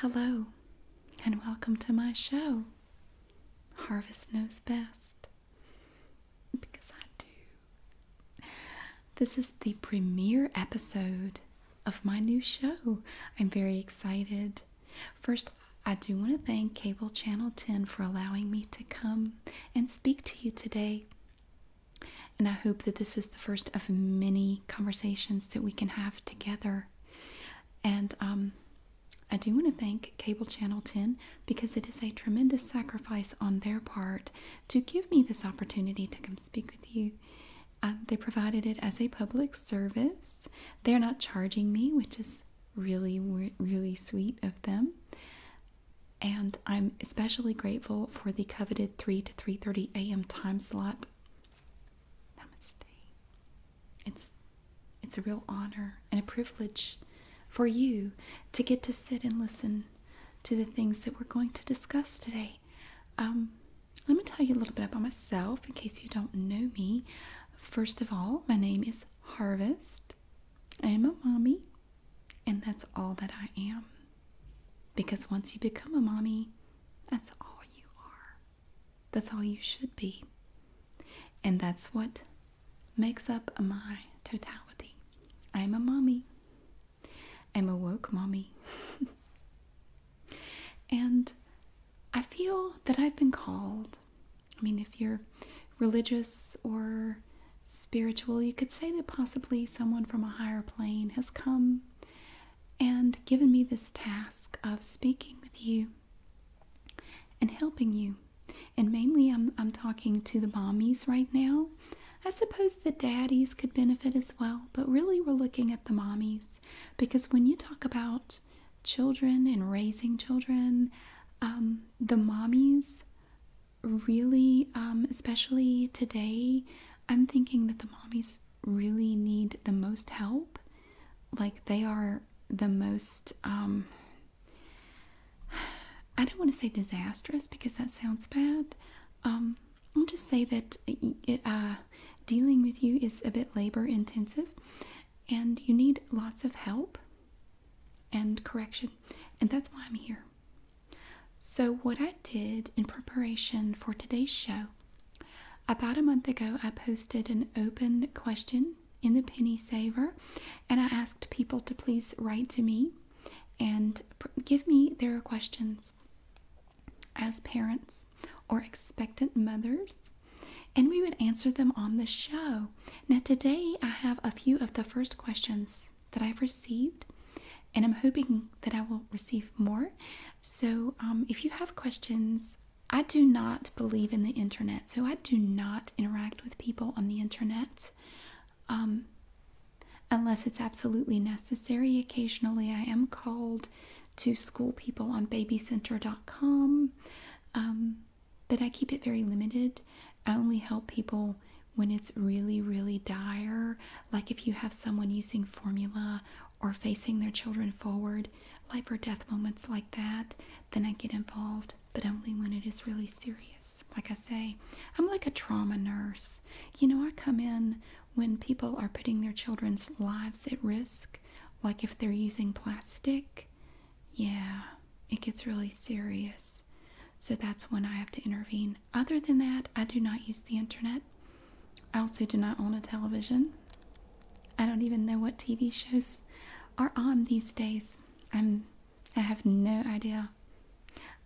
Hello, and welcome to my show. Harvest knows best. Because I do. This is the premiere episode of my new show. I'm very excited. First, I do want to thank Cable Channel 10 for allowing me to come and speak to you today. And I hope that this is the first of many conversations that we can have together. And um, I do want to thank Cable Channel 10 because it is a tremendous sacrifice on their part to give me this opportunity to come speak with you. Um, they provided it as a public service. They're not charging me, which is really, really sweet of them. And I'm especially grateful for the coveted 3 to 3:30 a.m. time slot Namaste. It's it's a real honor and a privilege for you to get to sit and listen to the things that we're going to discuss today. Um, let me tell you a little bit about myself in case you don't know me. First of all, my name is Harvest. I am a mommy, and that's all that I am. Because once you become a mommy, that's all you are. That's all you should be. And that's what makes up my totality. I'm a mommy. I'm a woke mommy. and I feel that I've been called. I mean, if you're religious or spiritual, you could say that possibly someone from a higher plane has come and given me this task of speaking with you and helping you. And mainly, I'm, I'm talking to the mommies right now. I suppose the daddies could benefit as well, but really, we're looking at the mommies because when you talk about children and raising children, um, the mommies really, um, especially today, I'm thinking that the mommies really need the most help like they are the most um i don't want to say disastrous because that sounds bad um i'll just say that uh, dealing with you is a bit labor intensive and you need lots of help and correction and that's why i'm here so what i did in preparation for today's show about a month ago, I posted an open question in the Penny Saver and I asked people to please write to me and give me their questions as parents or expectant mothers, and we would answer them on the show. Now, today I have a few of the first questions that I've received, and I'm hoping that I will receive more. So, um, if you have questions I do not believe in the internet, so I do not interact with people on the internet um, unless it's absolutely necessary. Occasionally, I am called to school people on babycenter.com, um, but I keep it very limited. I only help people when it's really, really dire, like if you have someone using formula or facing their children forward, life or death moments like that, then I get involved, but only when it is really serious. Like I say, I'm like a trauma nurse. You know, I come in when people are putting their children's lives at risk, like if they're using plastic. Yeah, it gets really serious. So that's when I have to intervene. Other than that, I do not use the internet. I also do not own a television. I don't even know what TV shows are on these days. I'm I have no idea.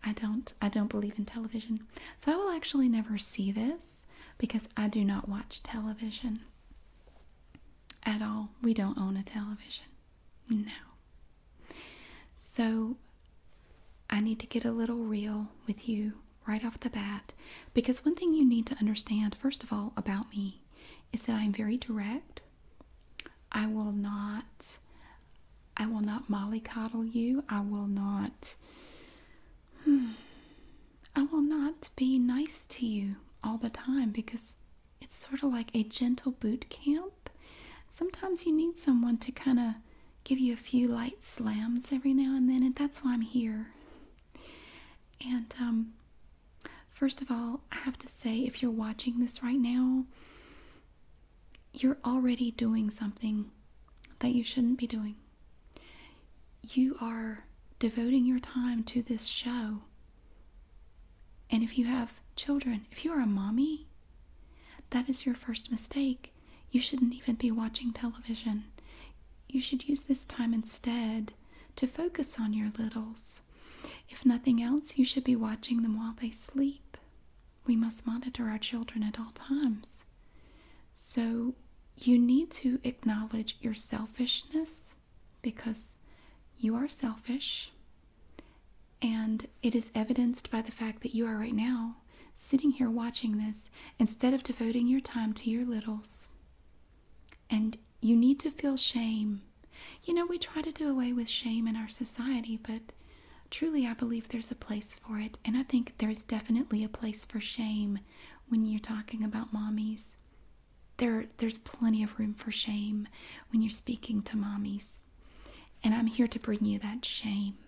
I don't I don't believe in television. So I will actually never see this because I do not watch television at all. We don't own a television. No. So I need to get a little real with you right off the bat because one thing you need to understand, first of all, about me is that I'm very direct. I will not I will not mollycoddle you. I will not hmm, I will not be nice to you all the time because it's sort of like a gentle boot camp. Sometimes you need someone to kind of give you a few light slams every now and then, and that's why I'm here. And um, first of all, I have to say, if you're watching this right now, you're already doing something that you shouldn't be doing. You are devoting your time to this show. And if you have children, if you are a mommy, that is your first mistake. You shouldn't even be watching television. You should use this time instead to focus on your littles. If nothing else, you should be watching them while they sleep. We must monitor our children at all times. So, you need to acknowledge your selfishness because you are selfish, and it is evidenced by the fact that you are right now sitting here watching this instead of devoting your time to your littles. And you need to feel shame. You know, we try to do away with shame in our society, but truly, I believe there's a place for it. And I think there's definitely a place for shame when you're talking about mommies. There, there's plenty of room for shame when you're speaking to mommies. And I'm here to bring you that shame.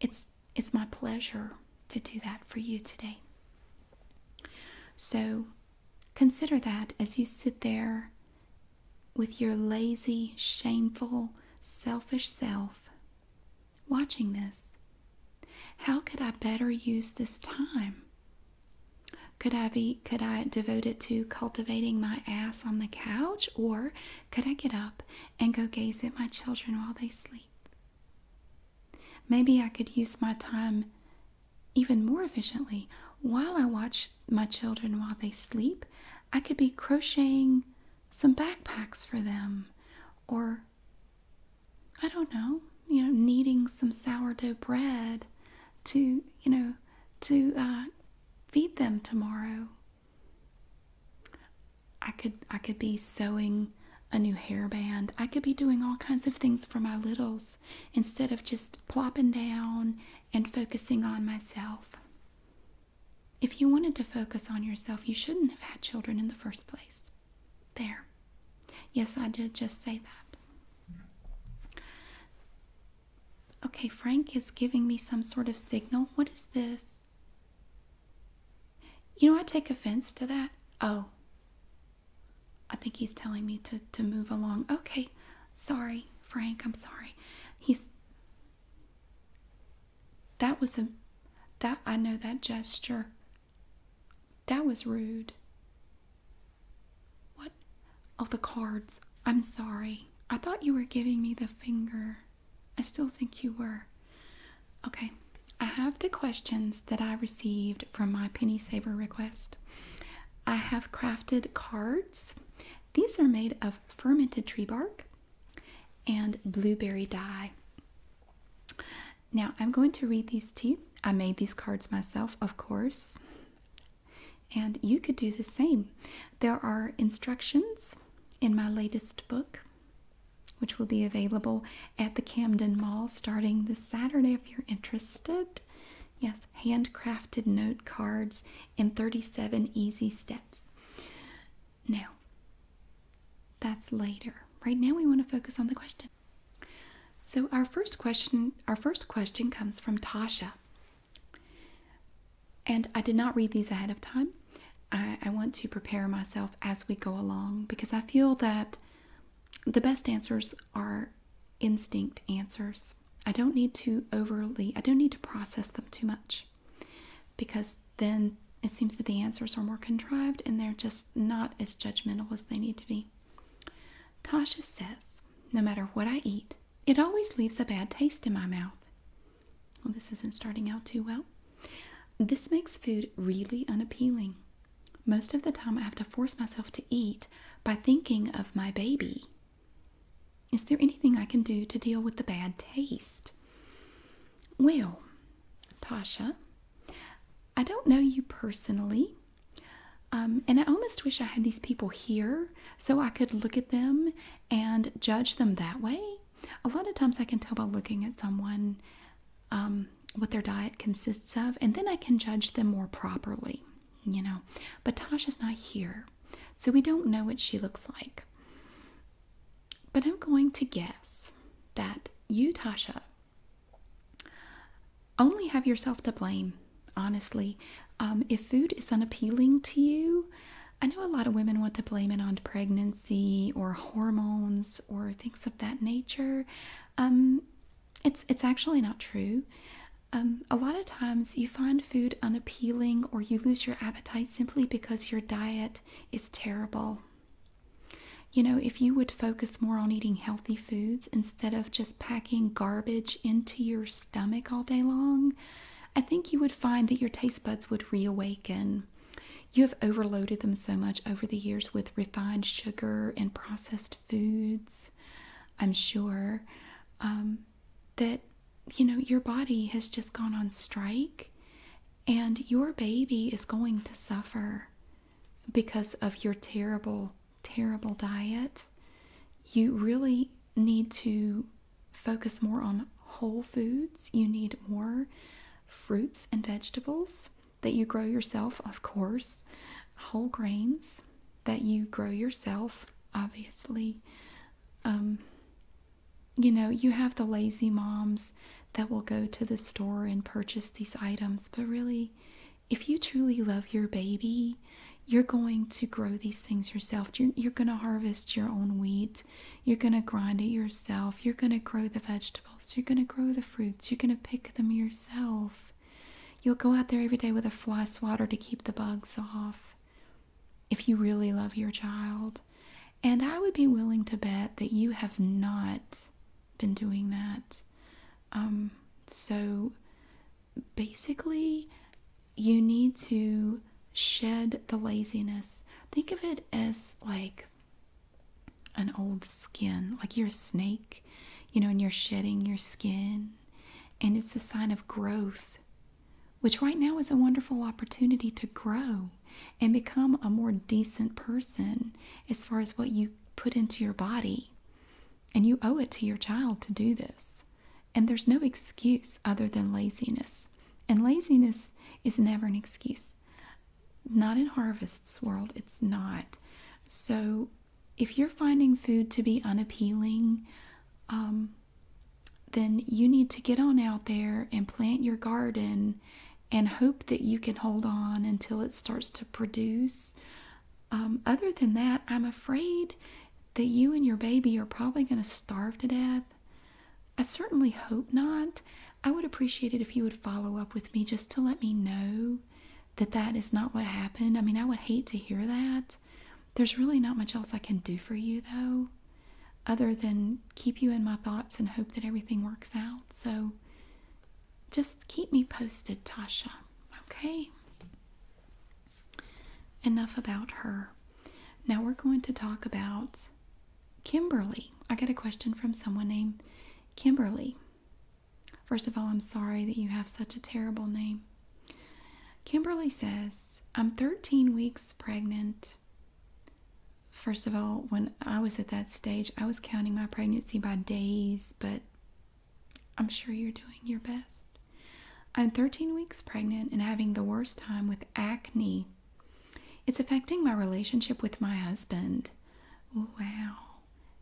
It's it's my pleasure to do that for you today. So consider that as you sit there with your lazy, shameful, selfish self watching this. How could I better use this time? Could I be could I devote it to cultivating my ass on the couch or could I get up and go gaze at my children while they sleep? Maybe I could use my time even more efficiently. While I watch my children while they sleep, I could be crocheting some backpacks for them or I don't know, you know, kneading some sourdough bread to, you know, to uh, feed them tomorrow. I could I could be sewing a new hairband. I could be doing all kinds of things for my littles instead of just plopping down and focusing on myself. If you wanted to focus on yourself, you shouldn't have had children in the first place. There. Yes, I did just say that. Okay, Frank is giving me some sort of signal. What is this? You know, I take offense to that. Oh, I think he's telling me to, to move along. Okay, sorry, Frank, I'm sorry. He's that was a that I know that gesture. That was rude. What? Of oh, the cards. I'm sorry. I thought you were giving me the finger. I still think you were. Okay, I have the questions that I received from my penny saver request. I have crafted cards. These are made of fermented tree bark and blueberry dye. Now, I'm going to read these to you. I made these cards myself, of course, and you could do the same. There are instructions in my latest book which will be available at the Camden Mall starting this Saturday if you're interested. Yes, handcrafted note cards in 37 easy steps. Now, that's later. Right now we want to focus on the question. So our first question, our first question comes from Tasha. And I did not read these ahead of time. I want to prepare myself as we go along because I feel that the best answers are instinct answers. I don't need to overly, I don't need to process them too much because then it seems that the answers are more contrived and they're just not as judgmental as they need to be. Tasha says, No matter what I eat, it always leaves a bad taste in my mouth. Well, this isn't starting out too well. This makes food really unappealing. Most of the time, I have to force myself to eat by thinking of my baby. Is there anything I can do to deal with the bad taste? Well, Tasha, I don't know you personally. Um, and I almost wish I had these people here so I could look at them and judge them that way. A lot of times I can tell by looking at someone um, what their diet consists of, and then I can judge them more properly, you know. But Tasha's not here, so we don't know what she looks like. But I'm going to guess that you, Tasha, only have yourself to blame, honestly. Um, if food is unappealing to you, I know a lot of women want to blame it on pregnancy or hormones or things of that nature. Um, it's it's actually not true. Um, a lot of times you find food unappealing or you lose your appetite simply because your diet is terrible. You know, if you would focus more on eating healthy foods instead of just packing garbage into your stomach all day long, I think you would find that your taste buds would reawaken. You have overloaded them so much over the years with refined sugar and processed foods, I'm sure, um, that you know your body has just gone on strike and your baby is going to suffer because of your terrible, terrible diet. You really need to focus more on whole foods, you need more fruits and vegetables that you grow yourself, of course, whole grains that you grow yourself, obviously. Um, you know, you have the lazy moms that will go to the store and purchase these items, but really, if you truly love your baby, you're going to grow these things yourself. You're, you're going to harvest your own wheat. You're going to grind it yourself. You're going to grow the vegetables. You're going to grow the fruits. You're going to pick them yourself. You'll go out there every day with a fly swatter to keep the bugs off if you really love your child. And I would be willing to bet that you have not been doing that. Um, so basically, you need to shed the laziness. Think of it as like an old skin, like you're a snake you know, and you're shedding your skin. And it's a sign of growth, which right now is a wonderful opportunity to grow and become a more decent person as far as what you put into your body. And you owe it to your child to do this. And there's no excuse other than laziness. And laziness is never an excuse. Not in harvest's world, it's not. So if you're finding food to be unappealing, um, then you need to get on out there and plant your garden and hope that you can hold on until it starts to produce. Um, other than that, I'm afraid that you and your baby are probably going to starve to death. I certainly hope not. I would appreciate it if you would follow up with me just to let me know that that is not what happened. I mean, I would hate to hear that. There's really not much else I can do for you, though, other than keep you in my thoughts and hope that everything works out. So just keep me posted, Tasha. Okay? Enough about her. Now we're going to talk about Kimberly. I got a question from someone named Kimberly. First of all, I'm sorry that you have such a terrible name. Kimberly says, I'm 13 weeks pregnant. First of all, when I was at that stage, I was counting my pregnancy by days, but I'm sure you're doing your best. I'm 13 weeks pregnant and having the worst time with acne. It's affecting my relationship with my husband. Wow.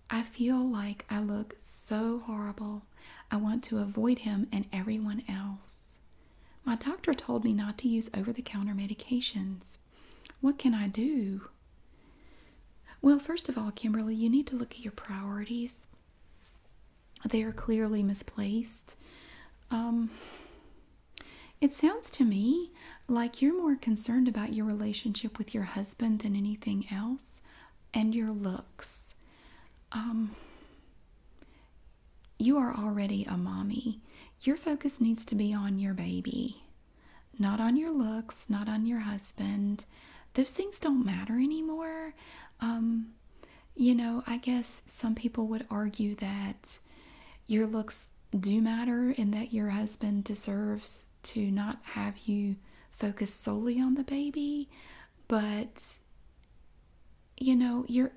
I feel like I look so horrible. I want to avoid him and everyone else. My doctor told me not to use over the counter medications. What can I do? Well, first of all, Kimberly, you need to look at your priorities. They are clearly misplaced. Um, it sounds to me like you're more concerned about your relationship with your husband than anything else and your looks. Um, you are already a mommy. Your focus needs to be on your baby, not on your looks, not on your husband. Those things don't matter anymore. Um, you know, I guess some people would argue that your looks do matter and that your husband deserves to not have you focus solely on the baby, but you know, you're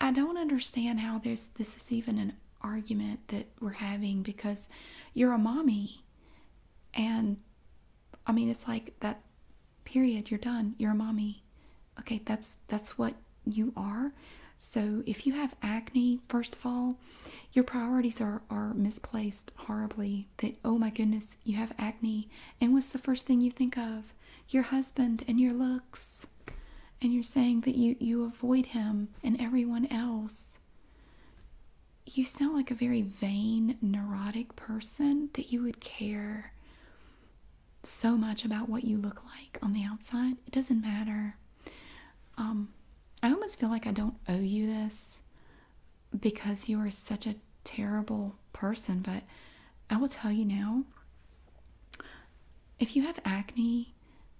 I don't understand how this this is even an argument that we're having because you're a mommy and I mean it's like that period, you're done, you're a mommy. Okay, that's that's what you are. So if you have acne, first of all, your priorities are, are misplaced horribly that, oh my goodness, you have acne, and what's the first thing you think of? Your husband and your looks. And you're saying that you, you avoid him and everyone else. You sound like a very vain, neurotic person that you would care so much about what you look like on the outside. It doesn't matter. Um, I almost feel like I don't owe you this because you are such a terrible person. But I will tell you now if you have acne,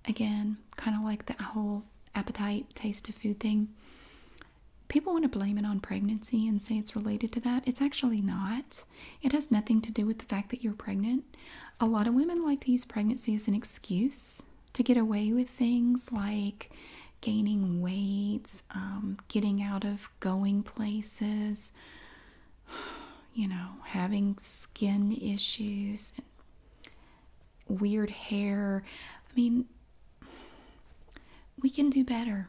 again, kind of like that whole appetite, taste of food thing, people want to blame it on pregnancy and say it's related to that. It's actually not, it has nothing to do with the fact that you're pregnant. A lot of women like to use pregnancy as an excuse to get away with things like gaining weights, um, getting out of going places, you know, having skin issues, weird hair. I mean, we can do better.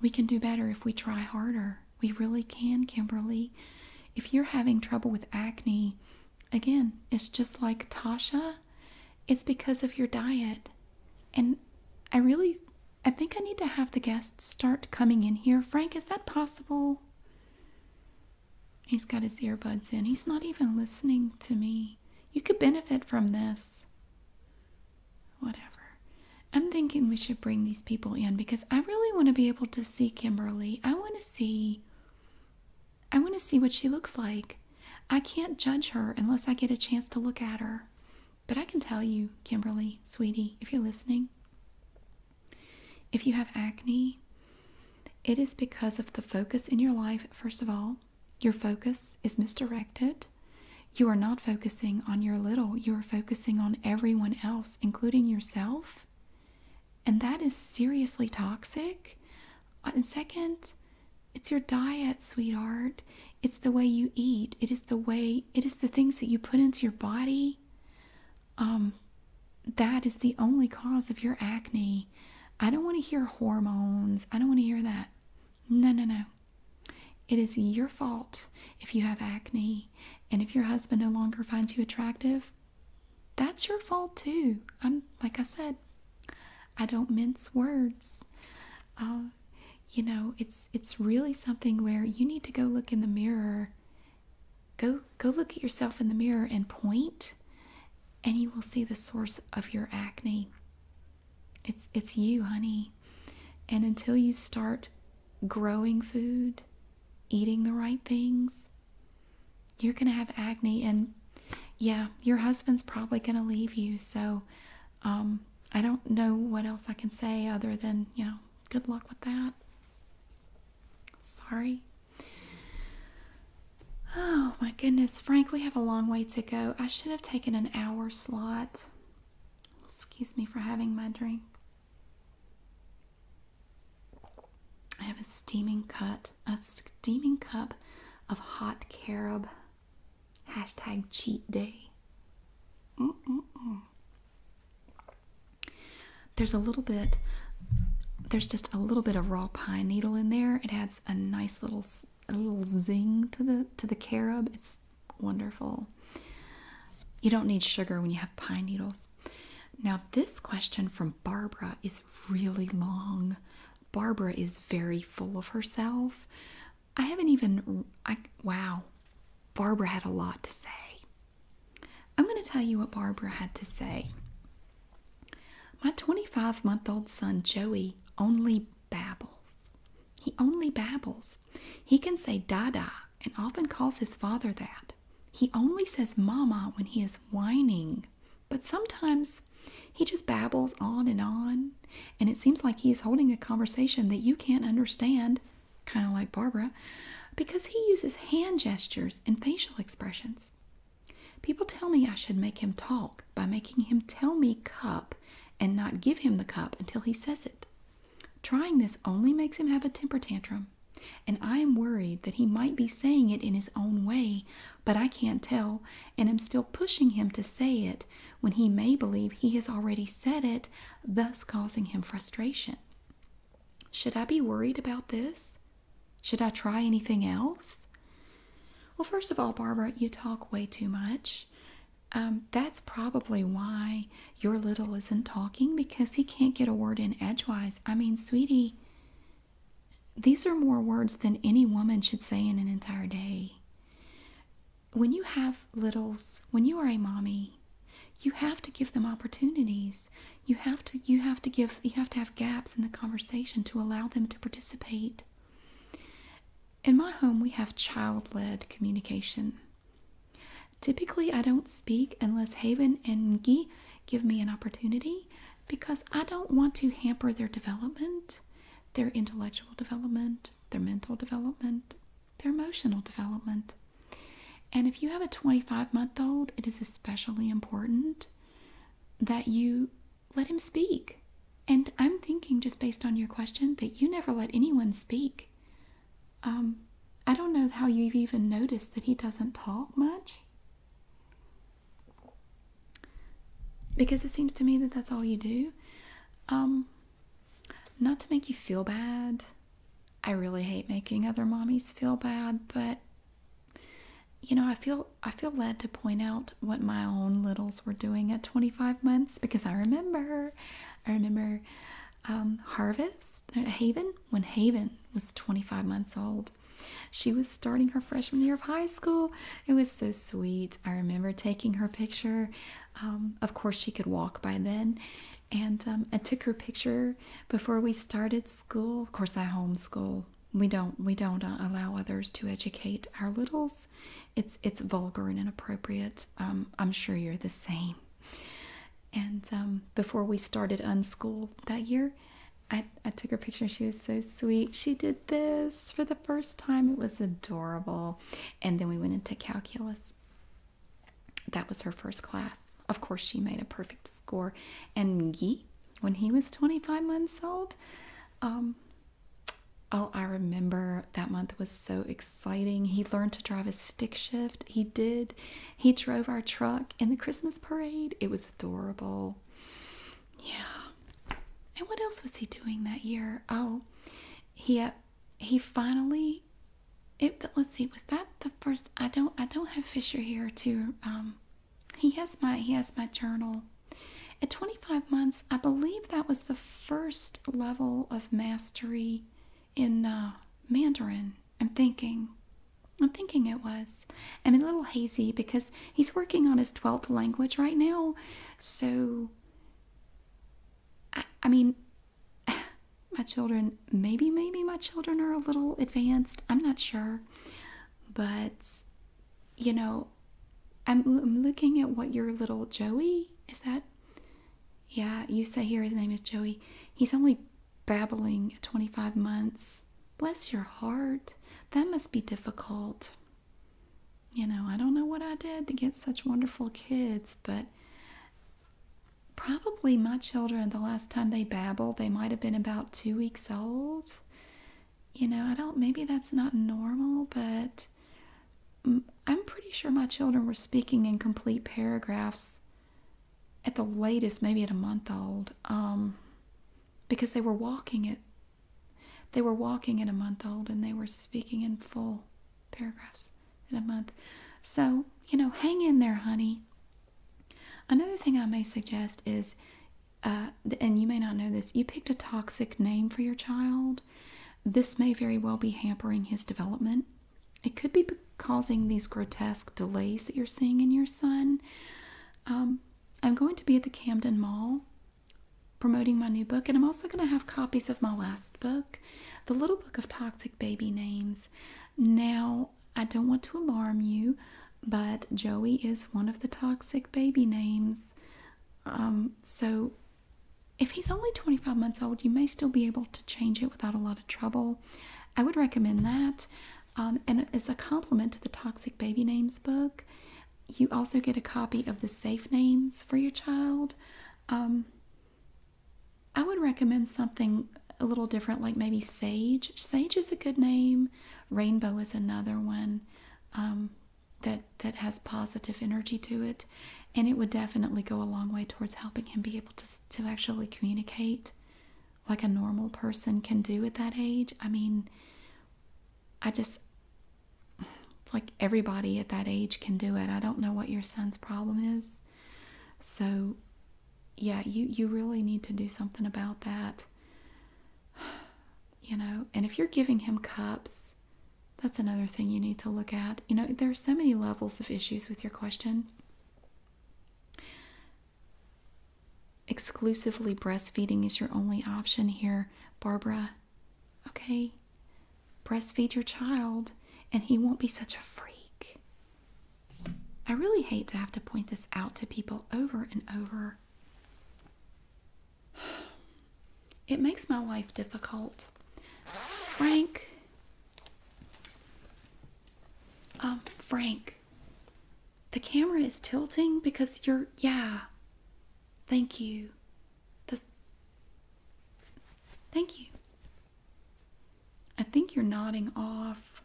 We can do better if we try harder. We really can, Kimberly. If you're having trouble with acne, again, it's just like Tasha, it's because of your diet. And I really I think I need to have the guests start coming in here. Frank, is that possible? He's got his earbuds in. He's not even listening to me. You could benefit from this. Whatever. I'm thinking we should bring these people in because I really want to be able to see Kimberly. I want to see I want to see what she looks like. I can't judge her unless I get a chance to look at her. But I can tell you, Kimberly, sweetie, if you're listening, if you have acne, it is because of the focus in your life, first of all. Your focus is misdirected. You are not focusing on your little, you are focusing on everyone else, including yourself. And that is seriously toxic. Uh, and second, it's your diet, sweetheart. It's the way you eat. It is the way, it is the things that you put into your body. Um, that is the only cause of your acne. I don't want to hear hormones. I don't want to hear that. No, no, no. It is your fault if you have acne and if your husband no longer finds you attractive. That's your fault too. I'm like I said, I don't mince words. Uh, you know, it's it's really something where you need to go look in the mirror. Go go look at yourself in the mirror and point, and you will see the source of your acne. It's it's you, honey. And until you start growing food, eating the right things, you're going to have acne and yeah, your husband's probably going to leave you. So um, I don't know what else I can say other than, you know, good luck with that. Sorry. Oh my goodness, Frank, we have a long way to go. I should have taken an hour slot. Excuse me for having my drink. I have a steaming cup, a steaming cup of hot carob Hashtag cheat day. There's a little bit, there's just a little bit of raw pine needle in there. It adds a nice little, little zing to the to the carob. It's wonderful. You don't need sugar when you have pine needles. Now this question from Barbara is really long. Barbara is very full of herself. I haven't even, I, wow, Barbara had a lot to say. I'm going to tell you what Barbara had to say. My 25 month old son Joey only babbles. He only babbles. He can say dada and often calls his father that. He only says mama when he is whining, but sometimes he just babbles on and on, and it seems like he's holding a conversation that you can't understand, kind of like Barbara, because he uses hand gestures and facial expressions. People tell me I should make him talk by making him tell me cup and not give him the cup until he says it. Trying this only makes him have a temper tantrum, and I am worried that he might be saying it in his own way, but I can't tell and am still pushing him to say it when he may believe he has already said it, thus causing him frustration. Should I be worried about this? Should I try anything else? Well, first of all, Barbara, you talk way too much. Um, that's probably why your little isn't talking because he can't get a word in edgewise. I mean, sweetie, these are more words than any woman should say in an entire day when you have littles, when you are a mommy, you have to give them opportunities. You have to you have to give you have to have gaps in the conversation to allow them to participate. In my home, we have child-led communication. Typically, I don't speak unless Haven and Guy give me an opportunity because I don't want to hamper their development, their intellectual development, their mental development, their emotional development. And if you have a 25 month old, it is especially important that you let him speak. And I'm thinking, just based on your question, that you never let anyone speak. Um, I don't know how you've even noticed that he doesn't talk much. Because it seems to me that that's all you do. Um, not to make you feel bad. I really hate making other mommies feel bad, but you know, I feel I feel led to point out what my own littles were doing at 25 months because I remember I remember um, Harvest uh, Haven when Haven was 25 months old. She was starting her freshman year of high school. It was so sweet. I remember taking her picture um, of course, she could walk by then. And um, I took her picture before we started school. Of course, I homeschool. We don't we don't uh, allow others to educate our littles. It's it's vulgar and inappropriate. Um, I'm sure you're the same. And um, before we started unschool that year, I, I took her picture. She was so sweet. She did this for the first time. It was adorable and then we went into calculus. That was her first class. Of course, she made a perfect score. And Miggy, when he was 25 months old, um, oh, I remember that month was so exciting. He learned to drive a stick shift. He did. He drove our truck in the Christmas parade. It was adorable. Yeah. And what else was he doing that year? Oh, he uh, he finally let's see was that the first i don't i don't have fisher here to um, he has my he has my journal at 25 months i believe that was the first level of mastery in uh, mandarin i'm thinking i'm thinking it was i'm a little hazy because he's working on his 12th language right now so I, mean, my children, maybe, maybe my children are a little advanced. I'm not sure. But, you know, I'm, I'm looking at what your little Joey is that? Yeah, you say here his name is Joey. He's only babbling at 25 months. Bless your heart. That must be difficult. You know, I don't know what I did to get such wonderful kids, but probably my children, the last time they babbled, they might have been about two weeks old. You know, I don't, maybe that's not normal, but I'm pretty sure my children were speaking in complete paragraphs at the latest, maybe at a month old, um, because they were walking it. They were walking at a month old and they were speaking in full paragraphs in a month. So, you know, hang in there, honey. Another thing I may suggest is, uh, and you may not know this, you picked a toxic name for your child. This may very well be hampering his development. It could be causing these grotesque delays that you're seeing in your son. Um, I'm going to be at the Camden Mall promoting my new book, and I'm also going to have copies of my last book, The Little Book of Toxic Baby Names. Now, I don't want to alarm you, but Joey is one of the toxic baby names. Um, so, if he's only 25 months old, you may still be able to change it without a lot of trouble. I would recommend that. Um, and as a compliment to the Toxic Baby Names book, you also get a copy of the Safe Names for your child. Um, I would recommend something a little different, like maybe sage. Sage is a good name. Rainbow is another one um, that that has positive energy to it, and it would definitely go a long way towards helping him be able to to actually communicate like a normal person can do at that age. I mean, I just it's like everybody at that age can do it. I don't know what your son's problem is. So yeah, you you really need to do something about that. You know, and if you're giving him cups, that's another thing you need to look at. You know, there are so many levels of issues with your question. Exclusively breastfeeding is your only option here, Barbara. Okay? breastfeed your child and he won't be such a freak. I really hate to have to point this out to people over and over. It makes my life difficult. Frank, um, Frank, the camera is tilting because you're, yeah, thank you. Thank you. I think you're nodding off.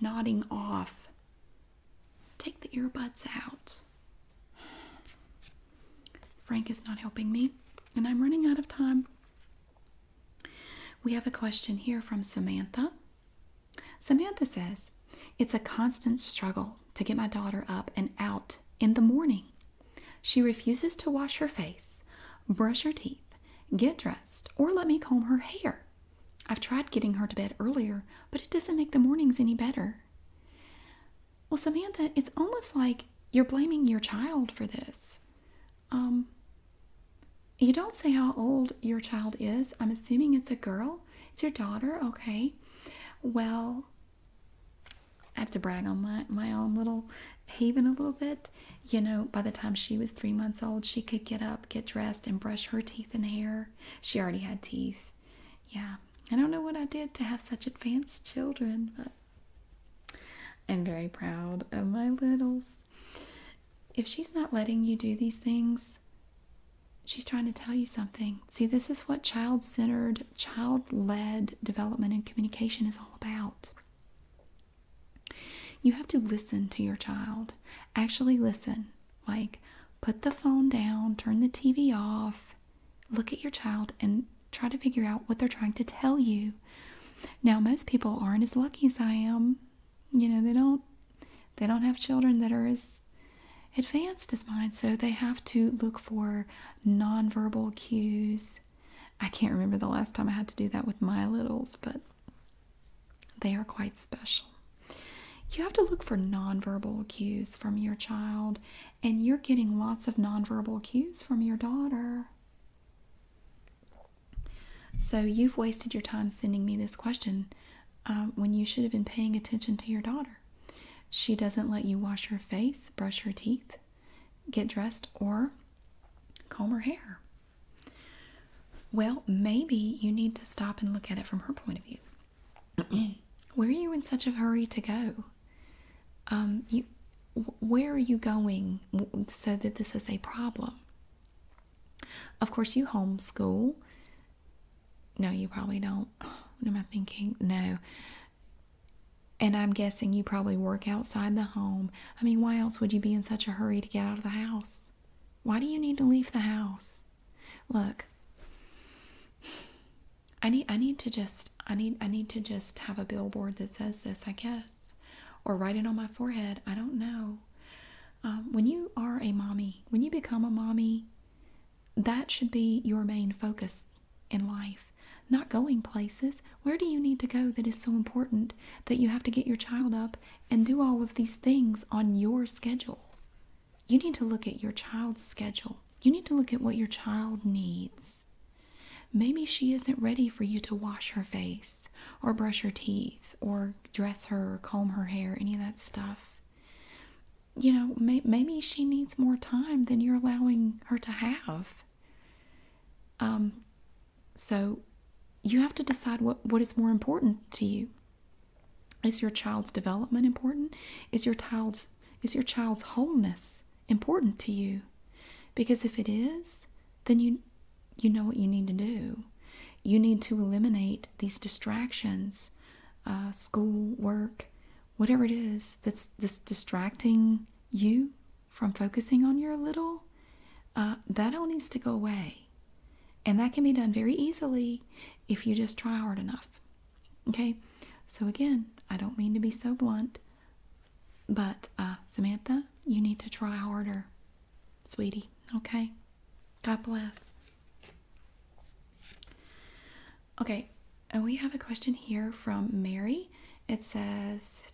Nodding off. Take the earbuds out. Frank is not helping me, and I'm running out of time. We have a question here from Samantha. Samantha says, It's a constant struggle to get my daughter up and out in the morning. She refuses to wash her face, brush her teeth, get dressed, or let me comb her hair. I've tried getting her to bed earlier, but it doesn't make the mornings any better. Well, Samantha, it's almost like you're blaming your child for this. Um, you don't say how old your child is. I'm assuming it's a girl. It's your daughter, okay? Well, I have to brag on my, my own little haven a little bit. You know, by the time she was three months old, she could get up, get dressed, and brush her teeth and hair. She already had teeth. Yeah. I don't know what I did to have such advanced children, but I'm very proud of my littles. If she's not letting you do these things, she's trying to tell you something. See, this is what child centered, child led development and communication is all about. You have to listen to your child. Actually, listen. Like, put the phone down, turn the TV off, look at your child, and try to figure out what they're trying to tell you. Now, most people aren't as lucky as I am. You know, they don't they don't have children that are as advanced as mine, so they have to look for nonverbal cues I can't remember the last time I had to do that with my littles, but they are quite special. You have to look for nonverbal cues from your child, and you're getting lots of nonverbal cues from your daughter. So, you've wasted your time sending me this question uh, when you should have been paying attention to your daughter. She doesn't let you wash her face, brush her teeth, get dressed or comb her hair. Well, maybe you need to stop and look at it from her point of view. where are you in such a hurry to go? Um, you, where are you going so that this is a problem? Of course, you homeschool. No, you probably don't. What am I thinking? No, and I'm guessing you probably work outside the home. I mean, why else would you be in such a hurry to get out of the house? Why do you need to leave the house? Look, I need I need to just I need I need to just have a billboard that says this, I guess, or write it on my forehead. I don't know. Um, when you are a mommy, when you become a mommy, that should be your main focus in life, not going places. Where do you need to go that is so important that you have to get your child up and do all of these things on your schedule? You need to look at your child's schedule. You need to look at what your child needs. Maybe she isn't ready for you to wash her face or brush her teeth or dress her or comb her hair, any of that stuff. You know, maybe she needs more time than you're allowing her to have. Um, so you have to decide what, what is more important to you. Is your child's development important? Is your child's is your child's wholeness important to you? Because if it is, then you you know what you need to do. You need to eliminate these distractions, uh, school, work, whatever it is that's this distracting you from focusing on your little, uh, that all needs to go away. And that can be done very easily if you just try hard enough. Okay, so again, I don't mean to be so blunt, but uh, Samantha, you need to try harder, sweetie. Okay, God bless. Okay, and we have a question here from Mary. It says,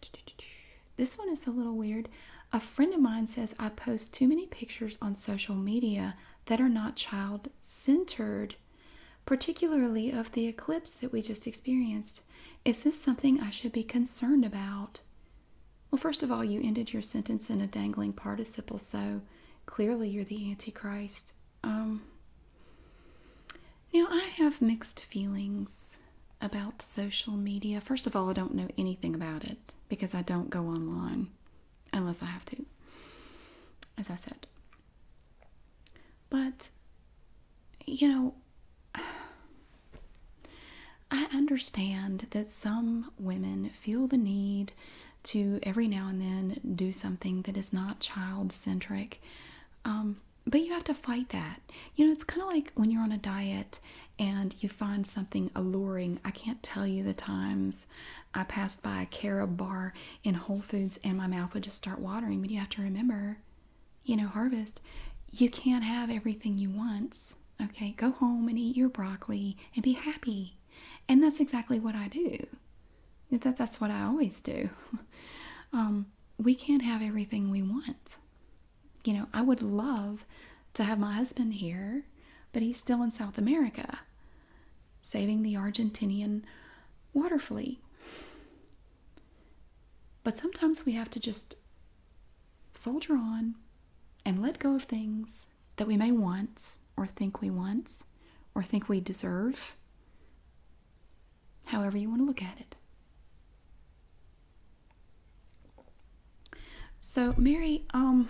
this one is a little weird. A friend of mine says, I post too many pictures on social media that are not child centered, particularly of the eclipse that we just experienced. Is this something I should be concerned about? Well, first of all, you ended your sentence in a dangling participle, so clearly you're the Antichrist. Um, now, I have mixed feelings about social media. First of all, I don't know anything about it because I don't go online unless I have to, as I said. But, you know, I understand that some women feel the need to every now and then do something that is not child centric. Um, but you have to fight that. You know, it's kind of like when you're on a diet and you find something alluring. I can't tell you the times I passed by a carob bar in Whole Foods and my mouth would just start watering. But you have to remember, you know, harvest, you can't have everything you want. Okay, go home and eat your broccoli and be happy. And that's exactly what I do. that's what I always do. Um, we can't have everything we want you know, I would love to have my husband here, but he's still in South America saving the Argentinian water flea. But sometimes we have to just soldier on and let go of things that we may want or think we want or think we deserve however you want to look at it. So, Mary, um,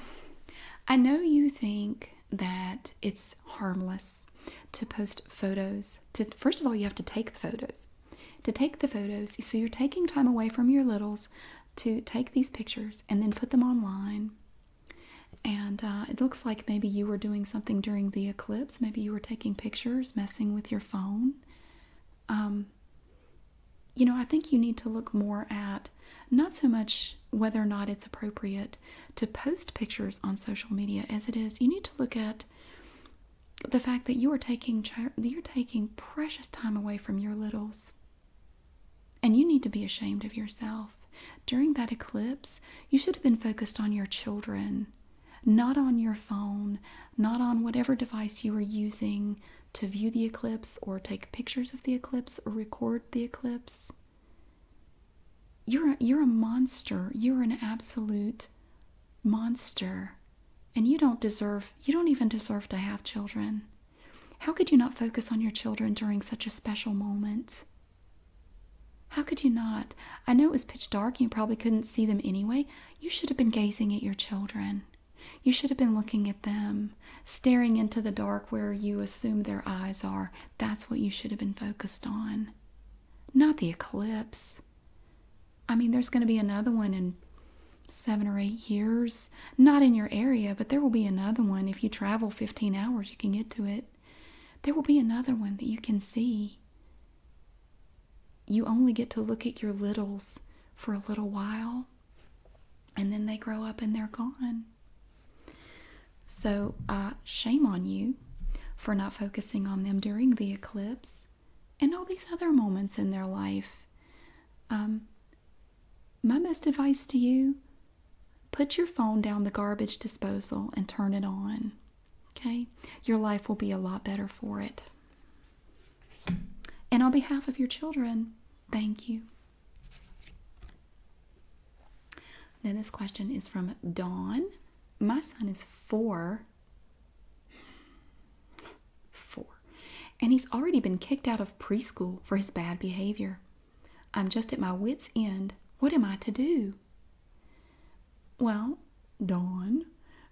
I know you think that it's harmless to post photos. To first of all, you have to take the photos. To take the photos, so you're taking time away from your littles to take these pictures and then put them online. And uh, it looks like maybe you were doing something during the eclipse. Maybe you were taking pictures, messing with your phone. Um, you know, I think you need to look more at not so much whether or not it's appropriate to post pictures on social media as it is you need to look at the fact that you are taking you're taking precious time away from your littles and you need to be ashamed of yourself during that eclipse you should have been focused on your children not on your phone, not on whatever device you were using to view the eclipse or take pictures of the eclipse or record the eclipse. You're a, you're a monster. You're an absolute monster. And you don't deserve, you don't even deserve to have children. How could you not focus on your children during such a special moment? How could you not? I know it was pitch dark, and you probably couldn't see them anyway, you should have been gazing at your children. You should have been looking at them, staring into the dark where you assume their eyes are. That's what you should have been focused on, not the eclipse. I mean, there's going to be another one in seven or eight years. Not in your area, but there will be another one. If you travel 15 hours, you can get to it. There will be another one that you can see you only get to look at your littles for a little while and then they grow up and they're gone. So, uh, shame on you for not focusing on them during the eclipse and all these other moments in their life. Um, my best advice to you put your phone down the garbage disposal and turn it on. Okay? Your life will be a lot better for it. And on behalf of your children, thank you. Then this question is from Dawn. My son is four. Four. And he's already been kicked out of preschool for his bad behavior. I'm just at my wits' end. What am I to do? Well, Dawn,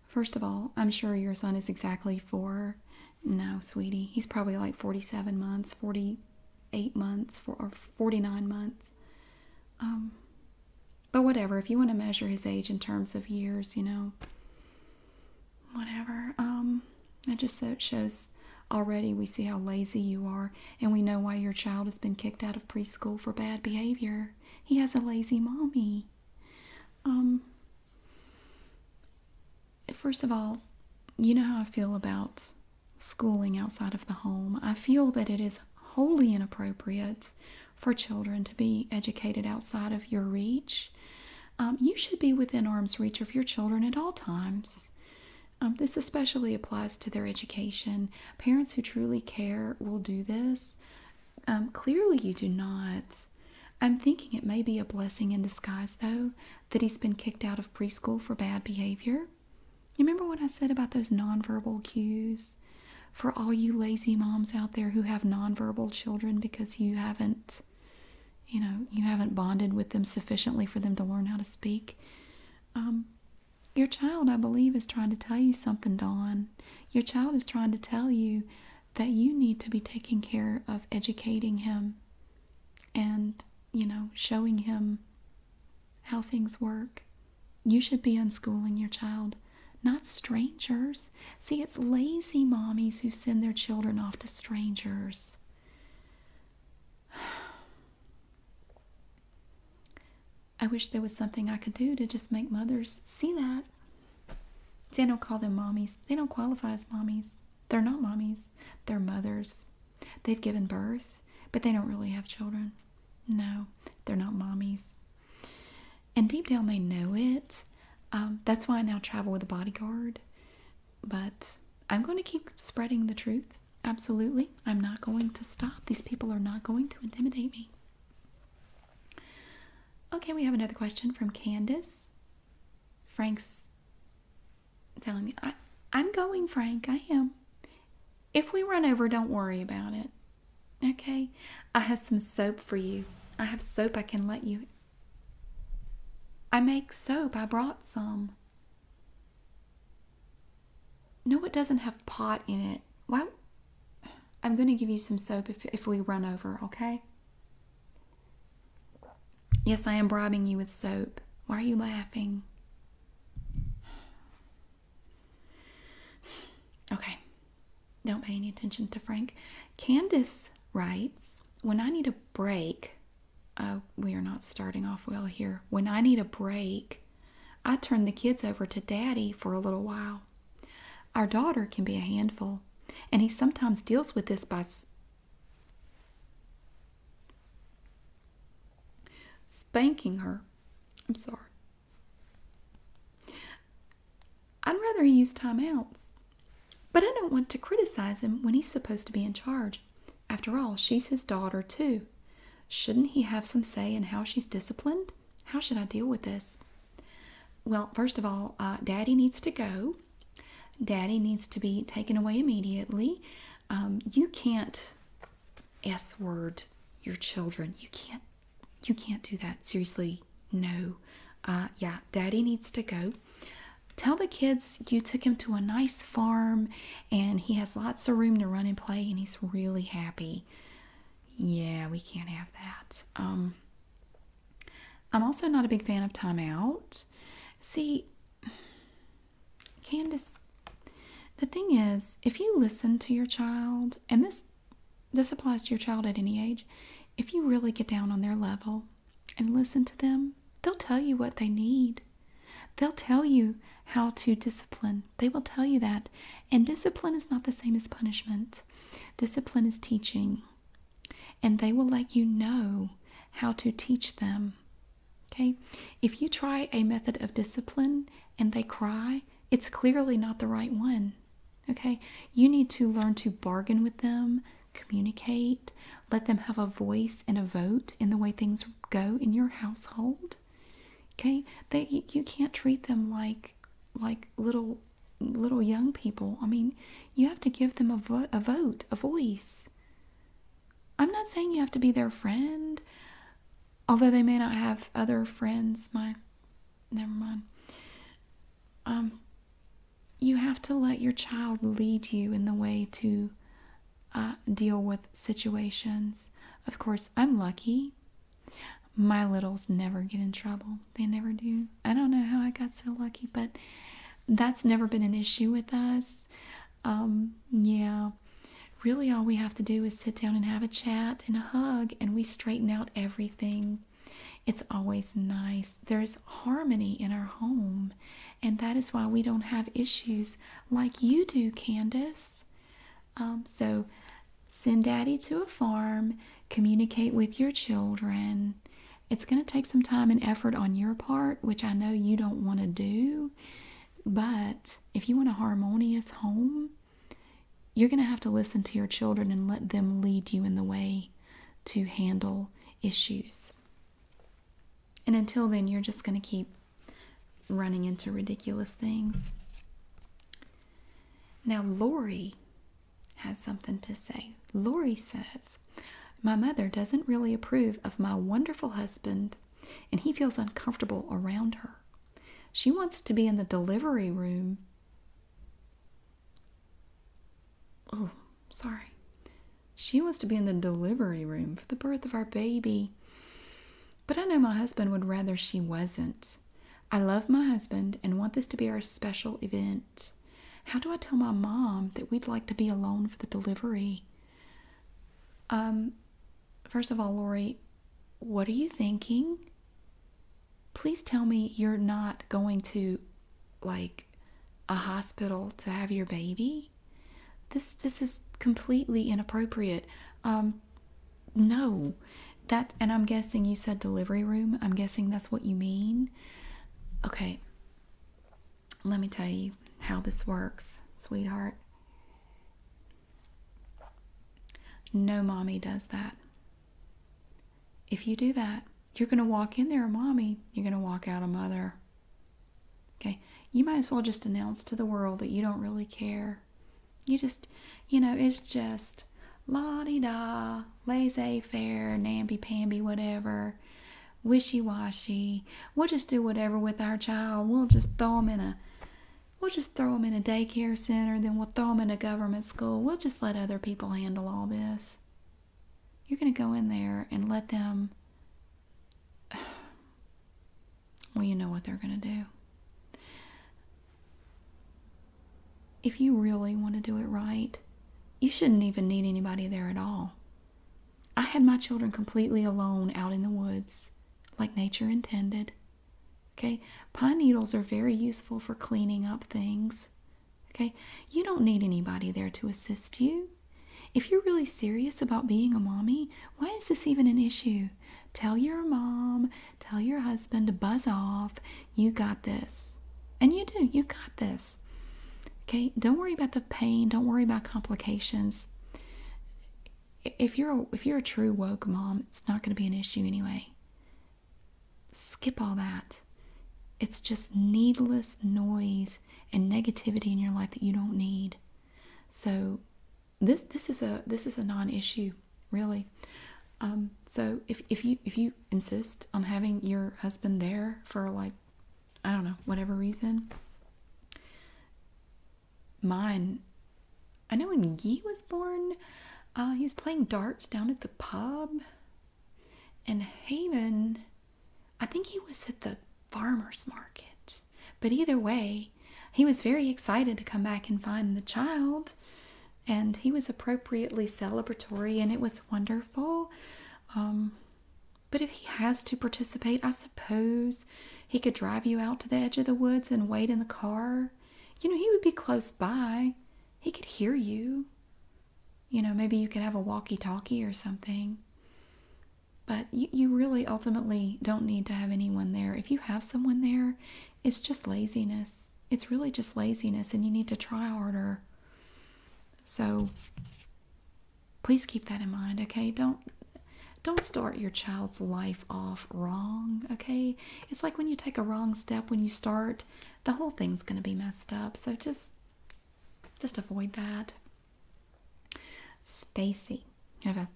First of all, I'm sure your son is exactly four. No, sweetie, he's probably like 47 months, 48 months, or 49 months. Um, but whatever, if you want to measure his age in terms of years, you know, whatever. Um, it just so it shows already we see how lazy you are, and we know why your child has been kicked out of preschool for bad behavior. He has a lazy mommy. Um, First of all, you know how I feel about schooling outside of the home. I feel that it is wholly inappropriate for children to be educated outside of your reach. Um, you should be within arm's reach of your children at all times. Um, this especially applies to their education. Parents who truly care will do this. Um, clearly, you do not. I'm thinking it may be a blessing in disguise, though, that he's been kicked out of preschool for bad behavior. You remember what I said about those nonverbal cues? For all you lazy moms out there who have nonverbal children because you haven't, you know, you haven't bonded with them sufficiently for them to learn how to speak. Um, your child, I believe, is trying to tell you something, Dawn. Your child is trying to tell you that you need to be taking care of educating him and, you know, showing him how things work. You should be unschooling your child, not strangers. See, it's lazy mommies who send their children off to strangers. I wish there was something I could do to just make mothers see that don't call them mommies. They don't qualify as mommies. They're not mommies. They're mothers. They've given birth, but they don't really have children. No, they're not mommies. And deep down, they know it. Um, that's why I now travel with a bodyguard. But I'm going to keep spreading the truth. Absolutely. I'm not going to stop. These people are not going to intimidate me. Okay, we have another question from Candace. Frank's telling me, I, am going, Frank. I am. If we run over, don't worry about it. Okay? I have some soap for you. I have soap I can let you. I make soap. I brought some. No, it doesn't have pot in it. Why? I'm going to give you some soap if, if we run over, okay? Yes, I am bribing you with soap. Why are you laughing? Okay, don't pay any attention to Frank. Candace writes, When I need a break, oh, we are not starting off well here. When I need a break, I turn the kids over to Daddy for a little while. Our daughter can be a handful, and he sometimes deals with this by spanking her. I'm sorry. I'd rather he use timeouts, but I don't want to criticize him when he's supposed to be in charge. After all, she's his daughter, too. Shouldn't he have some say in how she's disciplined? How should I deal with this? Well, first of all, uh, Daddy needs to go. Daddy needs to be taken away immediately. Um, you can't S word your children. You can't. You can't do that. Seriously, no. Uh, yeah, Daddy needs to go. Tell the kids you took him to a nice farm, and he has lots of room to run and play, and he's really happy. Yeah, we can't have that. Um, I'm also not a big fan of timeout. See, Candace, the thing is, if you listen to your child, and this this applies to your child at any age, if you really get down on their level and listen to them, they'll tell you what they need. They'll tell you how to discipline. They will tell you that. And discipline is not the same as punishment. Discipline is teaching and they will let you know how to teach them. Okay? If you try a method of discipline and they cry, it's clearly not the right one. Okay? You need to learn to bargain with them, communicate, let them have a voice and a vote in the way things go in your household. Okay? you can't treat them like like little little young people. I mean, you have to give them a, vote, a voice. I'm not saying you have to be their friend, although they may not have other friends. My, never mind. Um, you have to let your child lead you in the way to uh, deal with situations. Of course, I'm lucky. My littles never get in trouble they never do. I don't know how I got so lucky, but that's never been an issue with us. Um, yeah, really, all we have to do is sit down and have a chat and a hug, and we straighten out everything. It's always nice. There's harmony in our home, and that is why we don't have issues like you do, Candace. Um, so, send daddy to a farm, communicate with your children, it's going to take some time and effort on your part, which I know you don't want to do. But if you want a harmonious home, you're going to have to listen to your children and let them lead you in the way to handle issues. And until then, you're just going to keep running into ridiculous things. Now, Lori has something to say. Laurie says, My mother doesn't really approve of my wonderful husband, and he feels uncomfortable around her. She wants to be in the delivery room. Oh, sorry. She wants to be in the delivery room for the birth of our baby. But I know my husband would rather she wasn't. I love my husband and want this to be our special event. How do I tell my mom that we'd like to be alone for the delivery? Um, first of all, Lori, what are you thinking? Please tell me you're not going to like a hospital to have your baby. This this is completely inappropriate. Um no. That and I'm guessing you said delivery room. I'm guessing that's what you mean. Okay. Let me tell you how this works, sweetheart. No mommy does that. If you do that, you're going to walk in there mommy, you're going to walk out a mother. Okay? You might as well just announce to the world that you don't really care. You just, you know, it's just la di da, laissez faire, namby pamby, whatever wishy washy. We'll just do whatever with our child. We'll just throw them in a we'll just throw them in a daycare center, then we'll throw them in a government school. We'll just let other people handle all this. You're going to go in there and let them well, you know what they're going to do. If you really want to do it right, you shouldn't even need anybody there at all. I had my children completely alone out in the woods, like nature intended. Okay, pine needles are very useful for cleaning up things. Okay, you don't need anybody there to assist you. If you're really serious about being a mommy, why is this even an issue? Tell your mom, tell your husband to buzz off. You got this. And you do, you got this. Okay, don't worry about the pain, don't worry about complications. If you're a, if you're a true woke mom, it's not going to be an issue anyway. Skip all that. It's just needless noise and negativity in your life that you don't need. So this this is a this is a non-issue, really. Um, so if, if you if you insist on having your husband there for like I don't know, whatever reason. Mine, I know when Guy was born, uh, he was playing darts down at the pub. And Haven, I think he was at the farmer's market. But either way, he was very excited to come back and find the child. And he was appropriately celebratory, and it was wonderful. Um, but if he has to participate, I suppose he could drive you out to the edge of the woods and wait in the car. You know, he would be close by. He could hear you. You know, maybe you could have a walkie talkie or something. But you, really ultimately don't need to have anyone there. If you have someone there, it's just laziness. It's really just laziness, and you need to try harder. So, Please keep that in mind, okay? Don't don't start your child's life off wrong, okay? It's like when you take a wrong step when you start, the whole thing's going to be messed up. So just just avoid that. Stacy. I have a,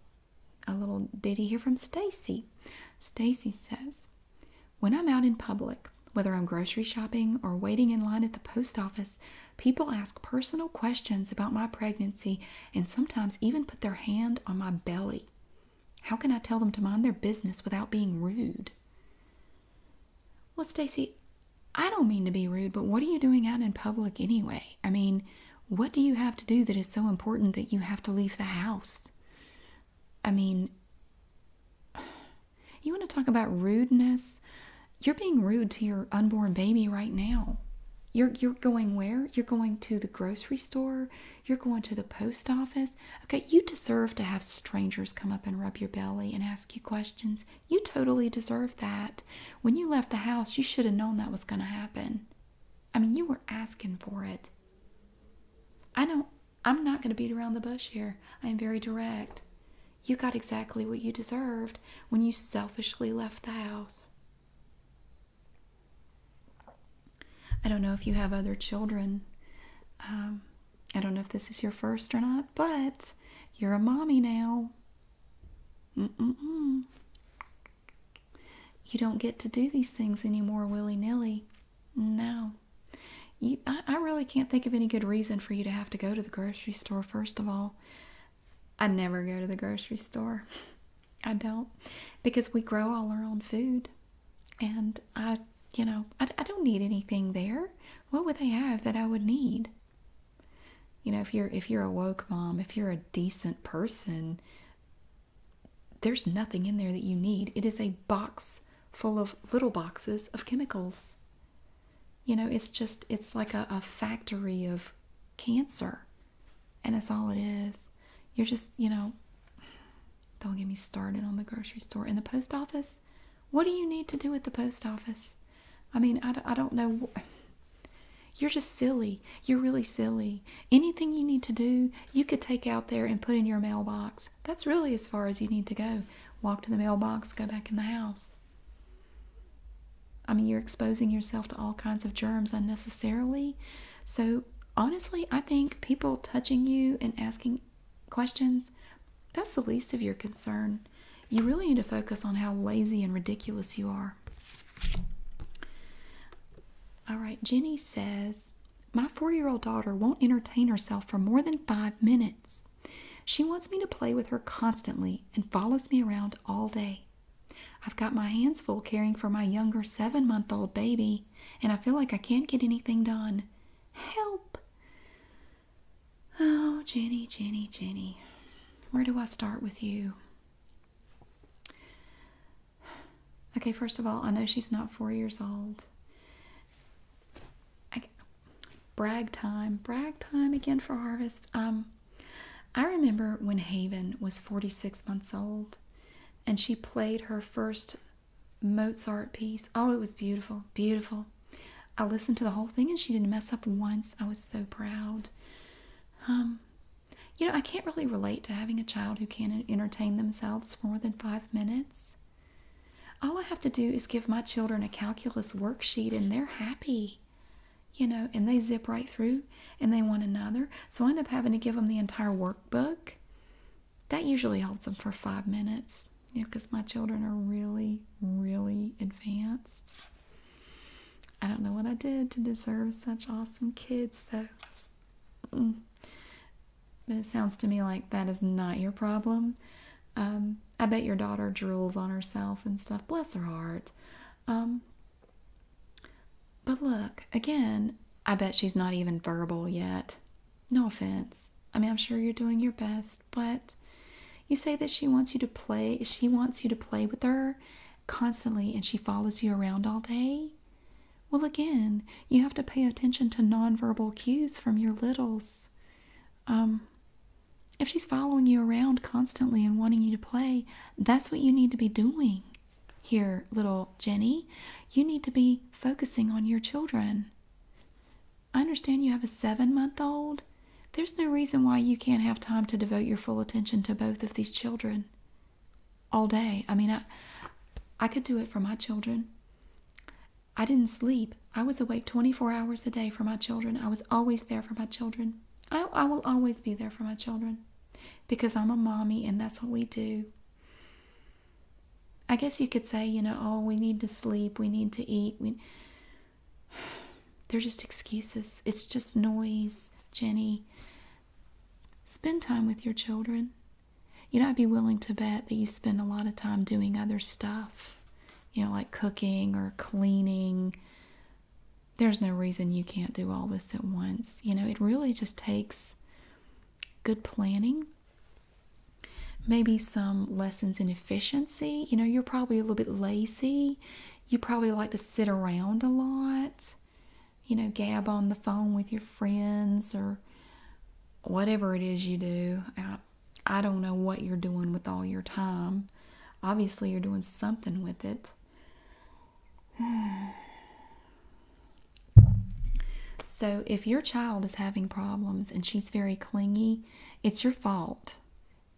a little ditty here from Stacy. Stacy says, "When I'm out in public, whether I'm grocery shopping or waiting in line at the post office, people ask personal questions about my pregnancy and sometimes even put their hand on my belly. How can I tell them to mind their business without being rude? Well, Stacy, I don't mean to be rude, but what are you doing out in public anyway? I mean, what do you have to do that is so important that you have to leave the house? I mean, you want to talk about rudeness? You're being rude to your unborn baby right now. You're you're going where? You're going to the grocery store, you're going to the post office. Okay, you deserve to have strangers come up and rub your belly and ask you questions. You totally deserve that. When you left the house, you should have known that was going to happen. I mean, you were asking for it. I don't I'm not going to beat around the bush here. I am very direct. You got exactly what you deserved when you selfishly left the house. I don't know if you have other children. Um, I don't know if this is your first or not, but you're a mommy now. You don't get to do these things anymore willy nilly. No. You, I really can't think of any good reason for you to have to go to the grocery store, first of all. I never go to the grocery store. I don't because we grow all our own food. And I, you know, I, don't need anything there. What would they have that I would need? You know, if you're if you're a woke mom, if you're a decent person, there's nothing in there that you need. It is a box full of little boxes of chemicals. You know, it's just, it's like a, factory of cancer. And that's all it is. You're just, you know, don't get me started on the grocery store and the post office. What do you need to do at the post office? I mean, I, I don't know. You're just silly. You're really silly. Anything you need to do, you could take out there and put in your mailbox. That's really as far as you need to go. Walk to the mailbox, go back in the house. I mean, you're exposing yourself to all kinds of germs unnecessarily. So, honestly, I think people touching you and asking questions, that's the least of your concern. You really need to focus on how lazy and ridiculous you are. All right, Jenny says, My four year old daughter won't entertain herself for more than five minutes. She wants me to play with her constantly and follows me around all day. I've got my hands full caring for my younger seven month old baby, and I feel like I can't get anything done. Help! Oh, Jenny, Jenny, Jenny, where do I start with you? Okay, first of all, I know she's not four years old brag time, brag time again for harvest. Um, I remember when Haven was 46 months old and she played her first Mozart piece. Oh, it was beautiful, beautiful. I listened to the whole thing and she didn't mess up once. I was so proud. Um, you know, I can't really relate to having a child who can't entertain themselves for more than five minutes. All I have to do is give my children a calculus worksheet and they're happy you know, and they zip right through and they want another. So I end up having to give them the entire workbook. That usually holds them for five minutes because my children are really, really advanced. I don't know what I did to deserve such awesome kids, though. Mm. But it sounds to me like that is not your problem. Um, I bet your daughter drools on herself and stuff. Bless her heart. Um, but look, again, I bet she's not even verbal yet. No offense. I mean, I'm sure you're doing your best, but you say that she wants you to play, she wants you to play with her constantly and she follows you around all day. Well, again, you have to pay attention to nonverbal cues from your littles. Um, if she's following you around constantly and wanting you to play, that's what you need to be doing here, little Jenny. You need to be focusing on your children. I understand you have a seven month old. There's no reason why you can't have time to devote your full attention to both of these children all day. I mean, I, I could do it for my children. I didn't sleep. I was awake 24 hours a day for my children. I was always there for my children. I, will always be there for my children because I'm a mommy and that's what we do. I guess you could say, you know, oh, we need to sleep, we need to eat. They're just excuses. It's just noise, Jenny. Spend time with your children. You know, I'd be willing to bet that you spend a lot of time doing other stuff, you know, like cooking or cleaning, there's no reason you can't do all this at once. You know, it really just takes good planning, maybe some lessons in efficiency. You know, you're probably a little bit lazy. You probably like to sit around a lot, you know, gab on the phone with your friends or whatever it is you do. I, don't know what you're doing with all your time Obviously, you're doing something with it. So, if your child is having problems and she's very clingy, it's your fault.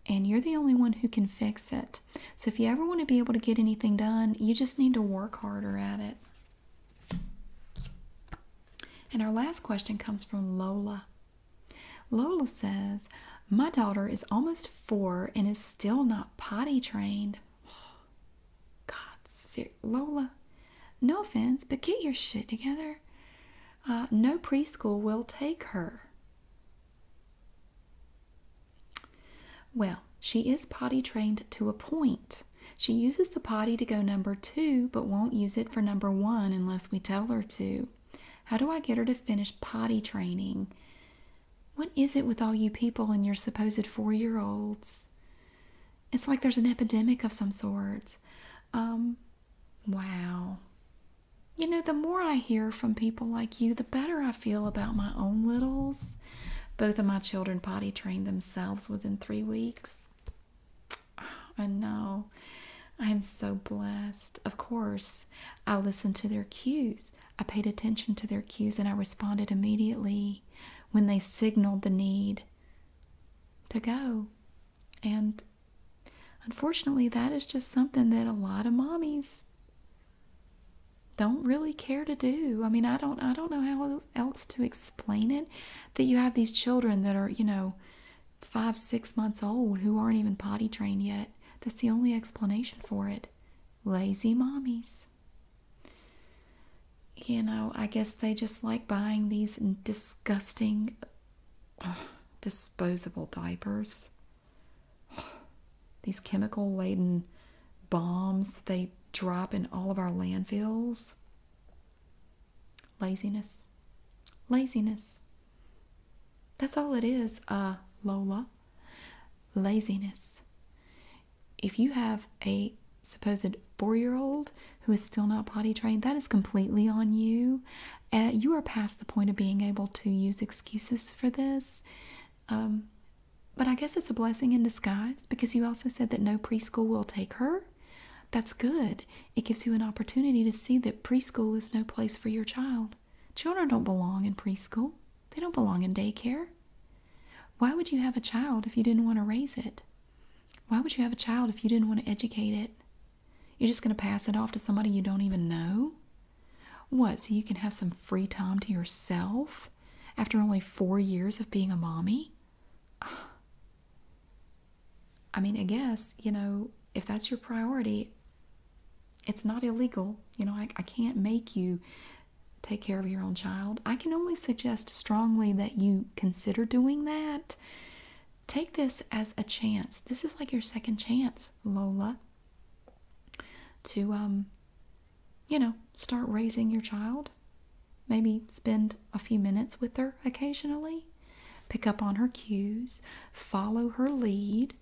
And you're the only one who can fix it. So, if you ever want to be able to get anything done, you just need to work harder at it. And our last question comes from Lola. Lola says, My daughter is almost four and is still not potty trained. God, Lola, no offense, but get your shit together. Uh, no preschool will take her. Well, she is potty trained to a point. She uses the potty to go number two, but won't use it for number one unless we tell her to. How do I get her to finish potty training? What is it with all you people and your supposed four year olds? It's like there's an epidemic of some sort. Um, wow. You know, the more I hear from people like you, the better I feel about my own littles. Both of my children potty trained themselves within three weeks. I know. I am so blessed. Of course, I listened to their cues. I paid attention to their cues and I responded immediately when they signaled the need to go. And unfortunately, that is just something that a lot of mommies don't really care to do. I mean, I don't I don't know how else to explain it that you have these children that are, you know, 5, 6 months old who aren't even potty trained yet that's the only explanation for it. Lazy mommies. You know, I guess they just like buying these disgusting, disposable diapers. These chemical laden bombs that they drop in all of our landfills. Laziness. Laziness. That's all it is, uh, Lola. Laziness. If you have a supposed four year old who is still not potty trained, that is completely on you. Uh, you are past the point of being able to use excuses for this. Um, but I guess it's a blessing in disguise because you also said that no preschool will take her. That's good. It gives you an opportunity to see that preschool is no place for your child. Children don't belong in preschool, they don't belong in daycare. Why would you have a child if you didn't want to raise it? Why would you have a child if you didn't want to educate it? You're just going to pass it off to somebody you don't even know? What, so you can have some free time to yourself after only four years of being a mommy? I mean, I guess, you know, if that's your priority, it's not illegal. You know, I, can't make you take care of your own child. I can only suggest strongly that you consider doing that. Take this as a chance. This is like your second chance, Lola, to, um, you know, start raising your child. Maybe spend a few minutes with her occasionally, pick up on her cues, follow her lead,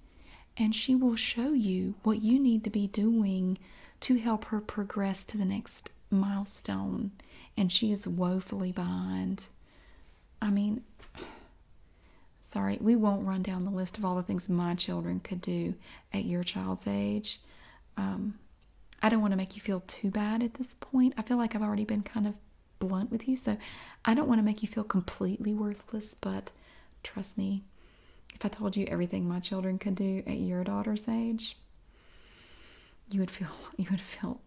and she will show you what you need to be doing to help her progress to the next milestone. And she is woefully behind. I mean, sorry, we won't run down the list of all the things my children could do at your child's age. Um, I don't want to make you feel too bad at this point. I feel like I've already been kind of blunt with you, so I don't want to make you feel completely worthless, but trust me, if I told you everything my children could do at your daughter's age, you would feel you would feel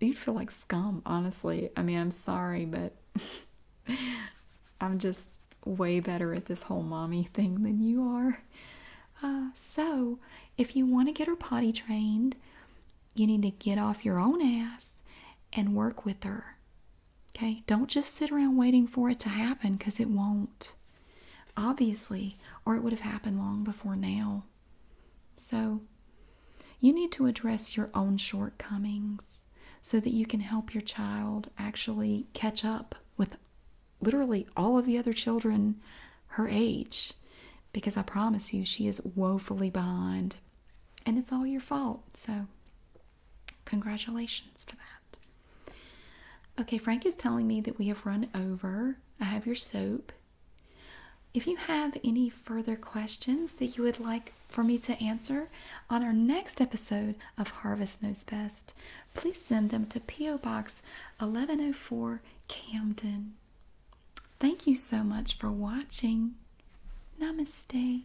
you'd feel like scum, honestly. I mean, I'm sorry, but I'm just way better at this whole mommy thing than you are. Uh, so, if you want to get her potty trained, you need to get off your own ass and work with her. Okay, don't just sit around waiting for it to happen because it won't, obviously, or it would have happened long before now. So, you need to address your own shortcomings so that you can help your child actually catch up with literally all of the other children her age because I promise you she is woefully behind and it's all your fault. So Congratulations for that. Okay, Frank is telling me that we have run over. I have your soap. If you have any further questions that you would like for me to answer on our next episode of Harvest Knows Best, please send them to P.O. Box 1104 Camden. Thank you so much for watching. Namaste.